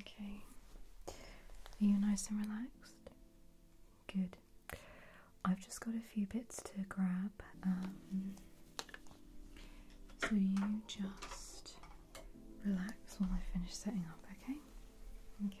Okay. Are you nice and relaxed? Good. I've just got a few bits to grab. Um, so you just relax while I finish setting up, okay? Okay.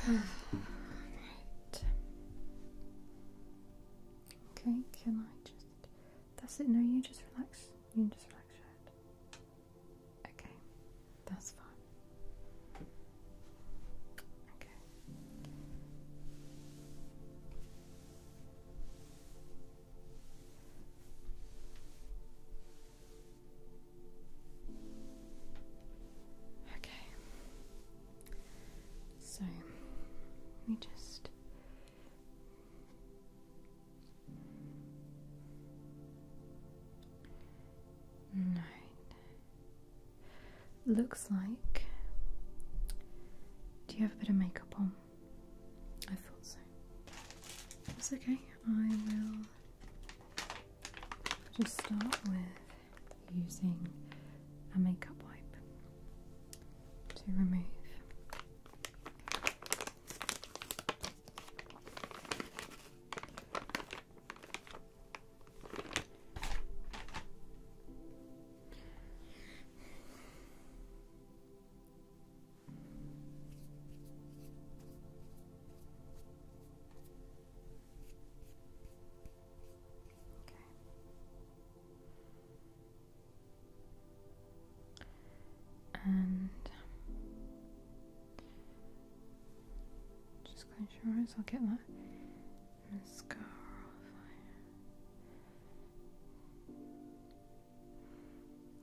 Okay. Okay, can I just that's it, no, you just relax. You can just relax your head. Okay, that's fine. Okay. Okay. So, let me just. Looks like. Do you have a bit of makeup on? I thought so. It's okay. I will just start with using a makeup wipe to remove and just clench your eyes, I'll get that mascara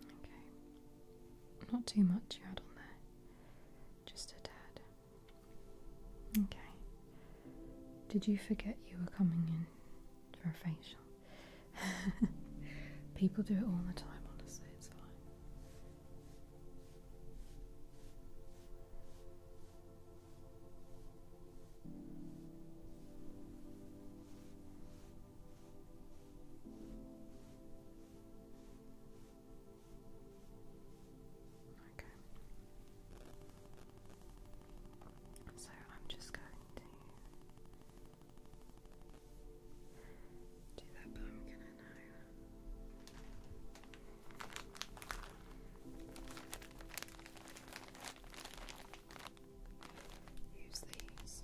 Okay. Not too much you had on there. Just a tad. Okay. Did you forget you were coming in for a facial? People do it all the time, honestly, it's fine. Okay. So I'm just going to do that, but I'm gonna Use these.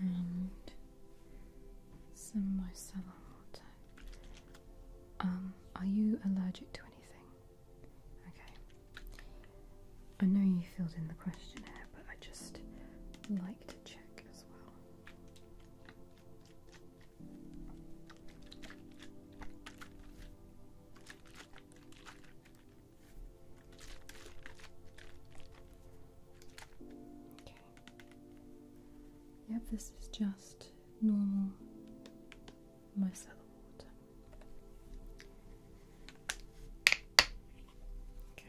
and some micellar water. Um, are you allergic to anything? Okay. I know you filled in the questionnaire, but I just like to check as well. Yep, this is just normal micellar water. Okay.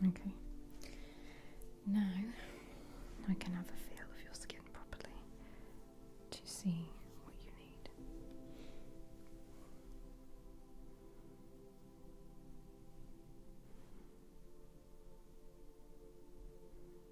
Okay. Now I can have a feel of your skin properly to see what you need.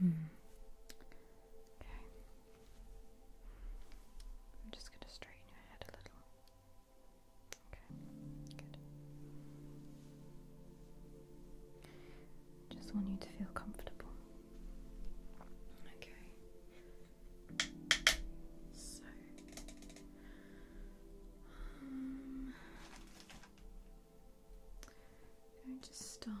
Hmm. Okay. I'm just going to straighten your head a little. Okay. Good. Just want you to feel comfortable. Okay. So. Um, I'm going to start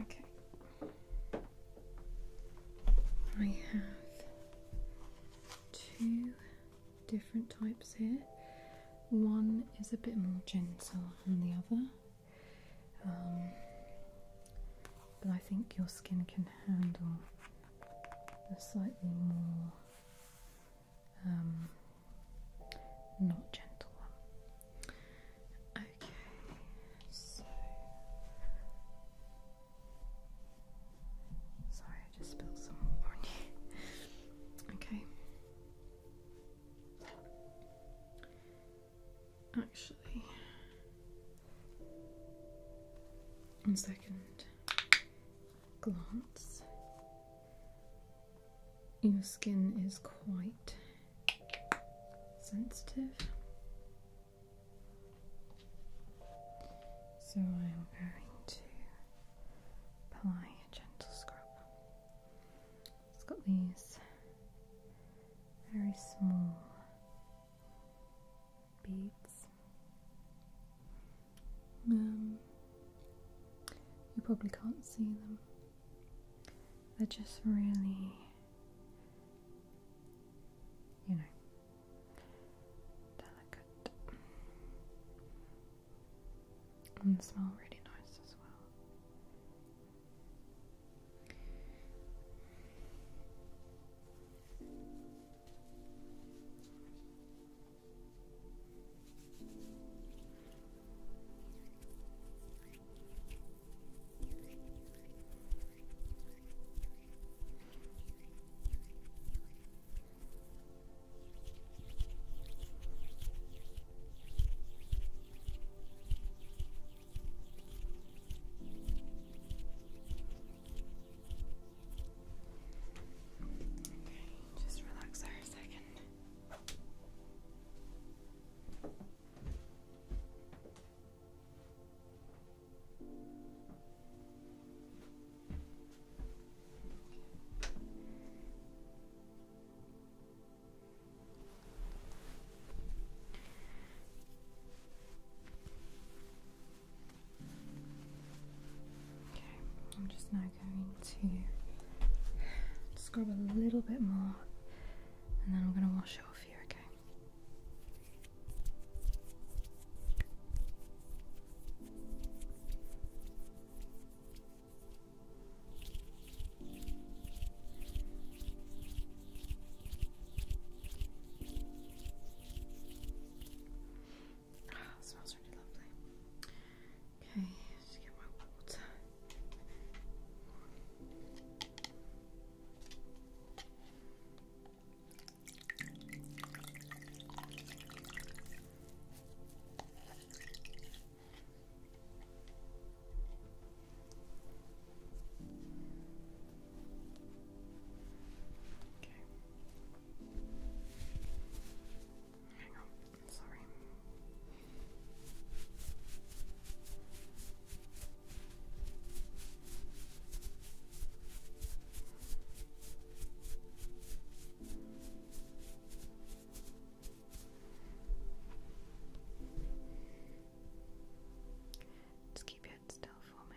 Okay. I have two different types here. One is a bit more gentle than the other, um, but I think your skin can handle the slightly more um, not gentle one. Okay, sorry, I just spilled some on Okay. Actually, on second glance, your skin is quite sensitive. So I'm going to apply a gentle scrub. It's got these very small beads. Um, you probably can't see them. They're just really you know, delicate. And smell really nice as well. Okay, just relax there a second. Okay, I'm just now going to scrub a little bit more and then I'm gonna wash it off here. okay? Ah, smells really lovely. Okay, just get my water. Hang on, sorry. Just keep your head still for me.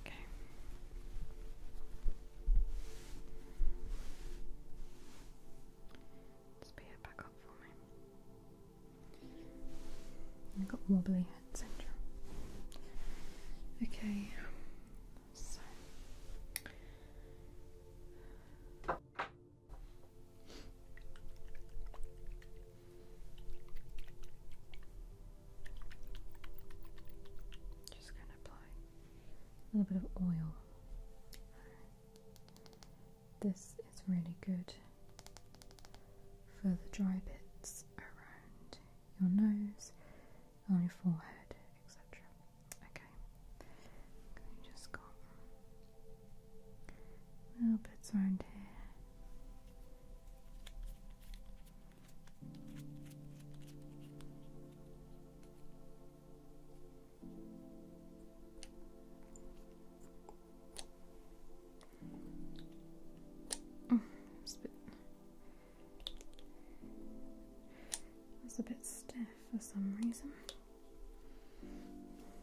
Okay. Speed it back up for me. i got wobbly head syndrome. Okay, just gonna apply a little bit of oil. This is really good for the dry bits around your nose, on your forehead, etc. Okay, we just got little bits around here. It's a bit stiff for some reason.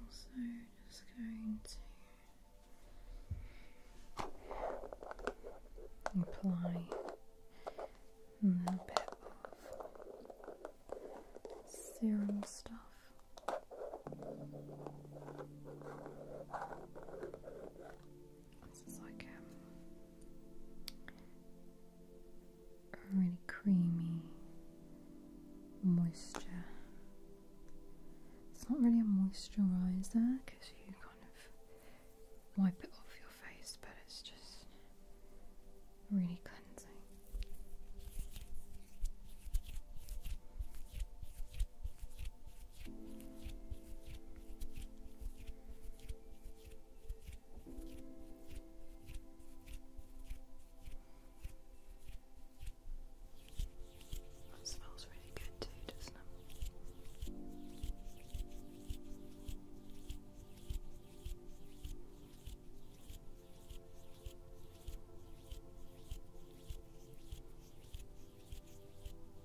Also, just going to apply a little bit of serum stuff. This is like a um, really creamy moisture. It's not really a moisturizer because you kind of wipe it off your face, but it's just really cleansing. That smells really good too, doesn't it?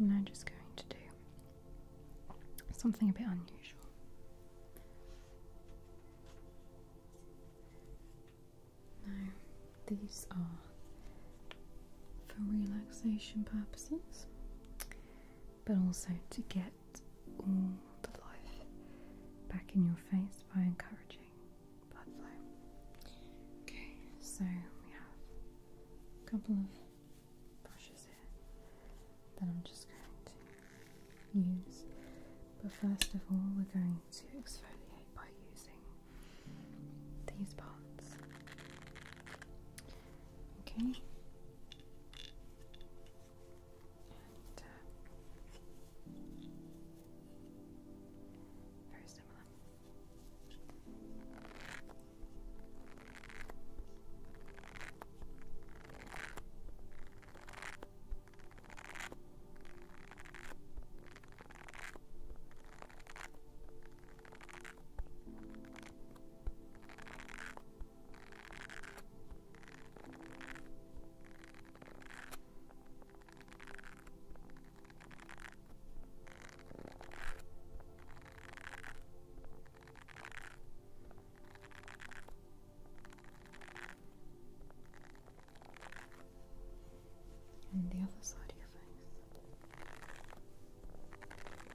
I'm just going to do something a bit unusual. Now, these are for relaxation purposes, but also to get back in your face by encouraging blood flow. Okay, so we have a couple of brushes here that I'm just going to use. But first of all, we're going to exfoliate by using these parts. Okay. very similar. And the other side of your face.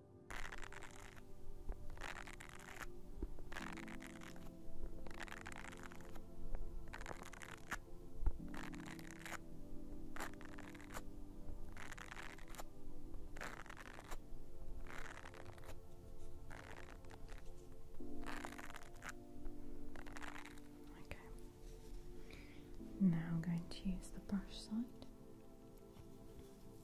Okay. Now I'm going to use the brush side.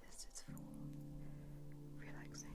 This is for Relaxation.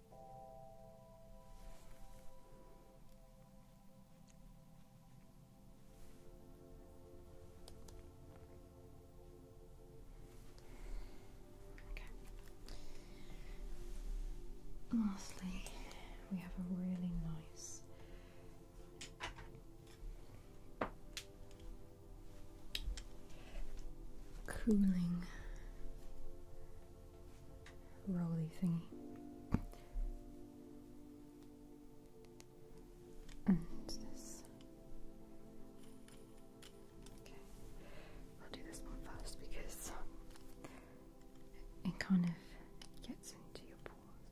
Lastly, we have a really nice cooling roly thingy. Okay, I'll do this one first because um, it kind of gets into your pores.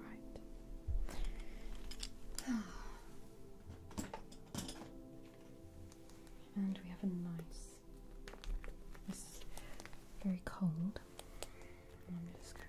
Right. and we have a nice it's very cold. I'm just going to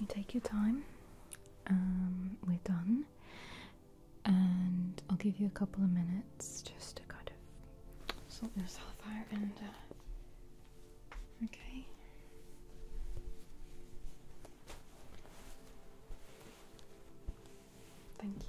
You take your time. Um, we're done, and I'll give you a couple of minutes just to kind of sort yourself out and. Uh, okay. Thank you.